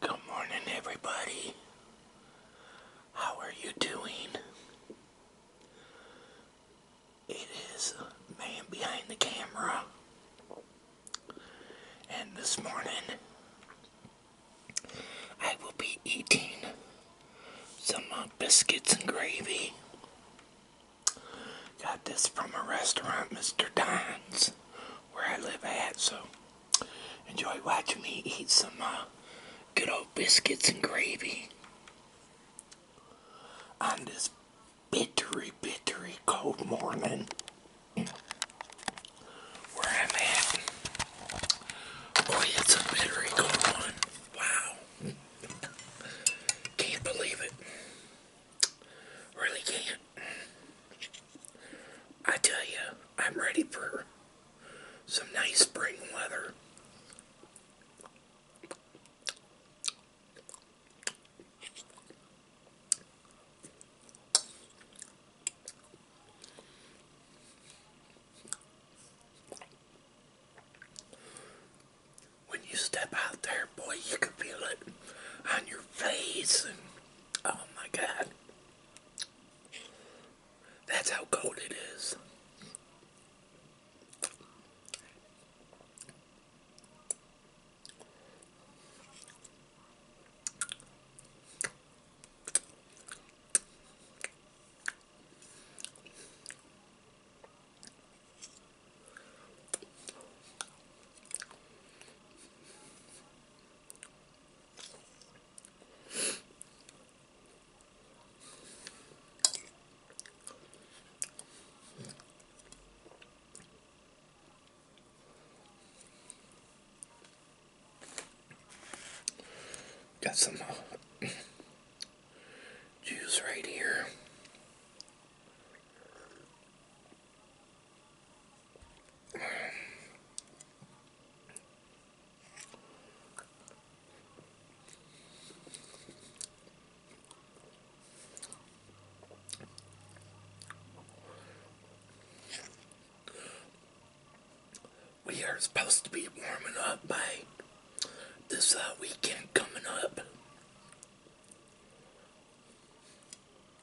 Good morning, everybody. How are you doing? It is man behind the camera, and this morning I will be eating some uh, biscuits and gravy. Got this from a restaurant, Mr. Don's where I live at. So enjoy watching me eat some uh, good old biscuits and gravy on this bittery, bittery cold morning where I'm at. Boy, it's a bittery cold one. Wow. Can't believe it. Really can't. I tell you, I'm ready for some nice spring weather. When you step out there, boy, you can feel it on your face Oh my god. That's how cold it is. Got some uh, juice right here. We are supposed to be warming up by this uh, weekend coming up.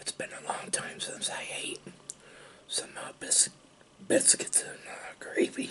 It's been a long time since I ate some uh, bis biscuits and uh, gravy.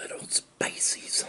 Little spicy song.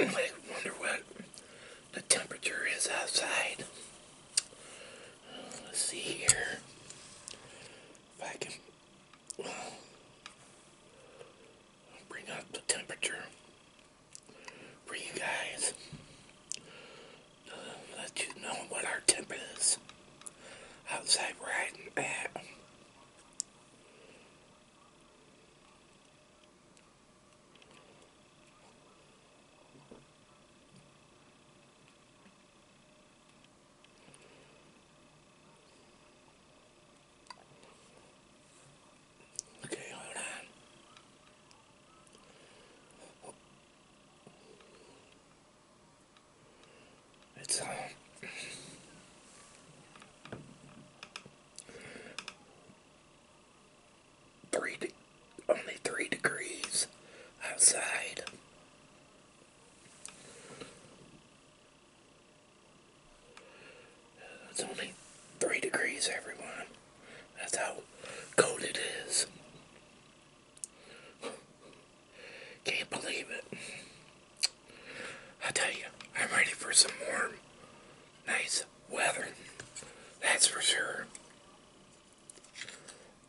I wonder what the temperature is outside let's see here if I can bring up the temperature for you guys uh, let you know what our temp is outside right at. Okay, hold on. It's um, three only three degrees outside. It's only three degrees, everyone. That's how cold it is. Can't believe it. I tell you, I'm ready for some warm, nice weather. That's for sure.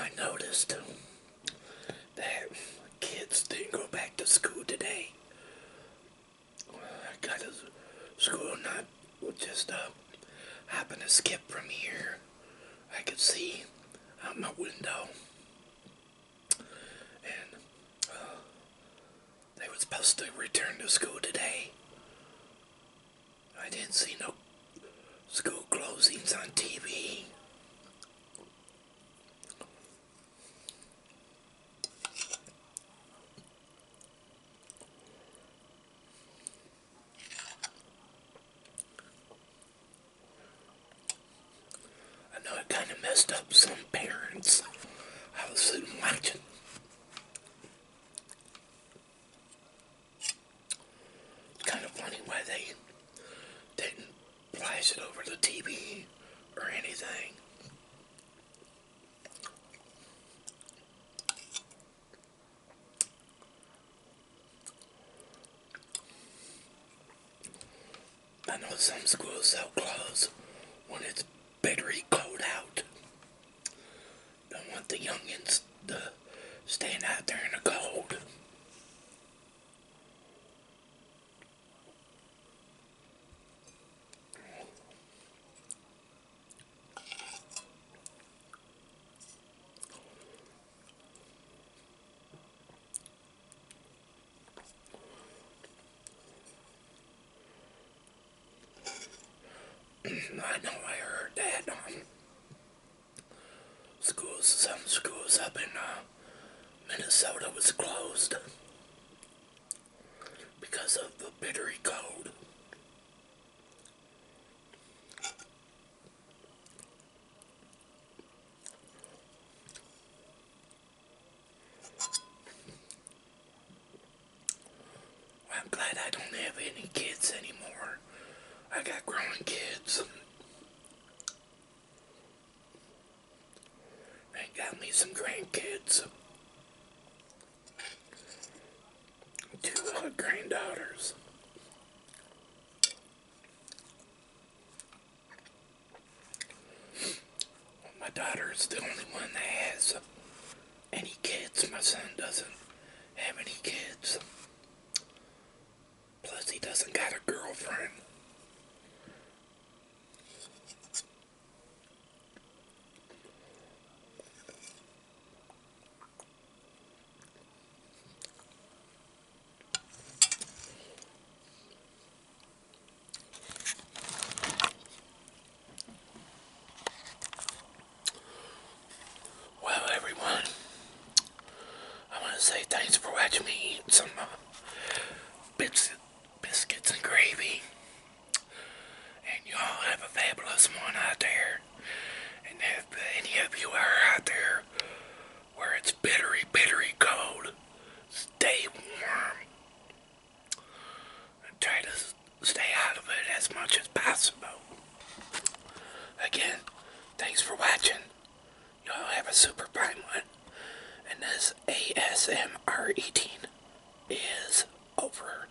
I noticed that kids didn't go back to school today. got to school not we just uh, happen to skip from here. I could see out my window. And uh, they were supposed to return to school today. I didn't see no school closings on TV. I know it kind of messed up some parents. I was watching. It's kind of funny why they didn't flash it over the TV or anything. I know some schools sell clothes when it's bitterly cold out. Don't want the youngins to stand out there in the cold. I know I heard that um, schools, some schools up in uh, Minnesota was closed because of the Bittery Code. I'm glad I don't have any kids anymore. I got grown kids. They got me some grandkids. Two granddaughters. my daughter is the only one that has any kids. My son doesn't have any kids. Plus, he doesn't got a girlfriend. Well, everyone, I want to say thanks for watching me eat some uh, biscuits and gravy. And y'all have a fabulous one out there. And if any of you are out there where it's bittery, bittery cold, stay warm. And try to stay out of it as much as possible. Again, thanks for watching. Y'all have a super fine one. And this ASMR eating is over.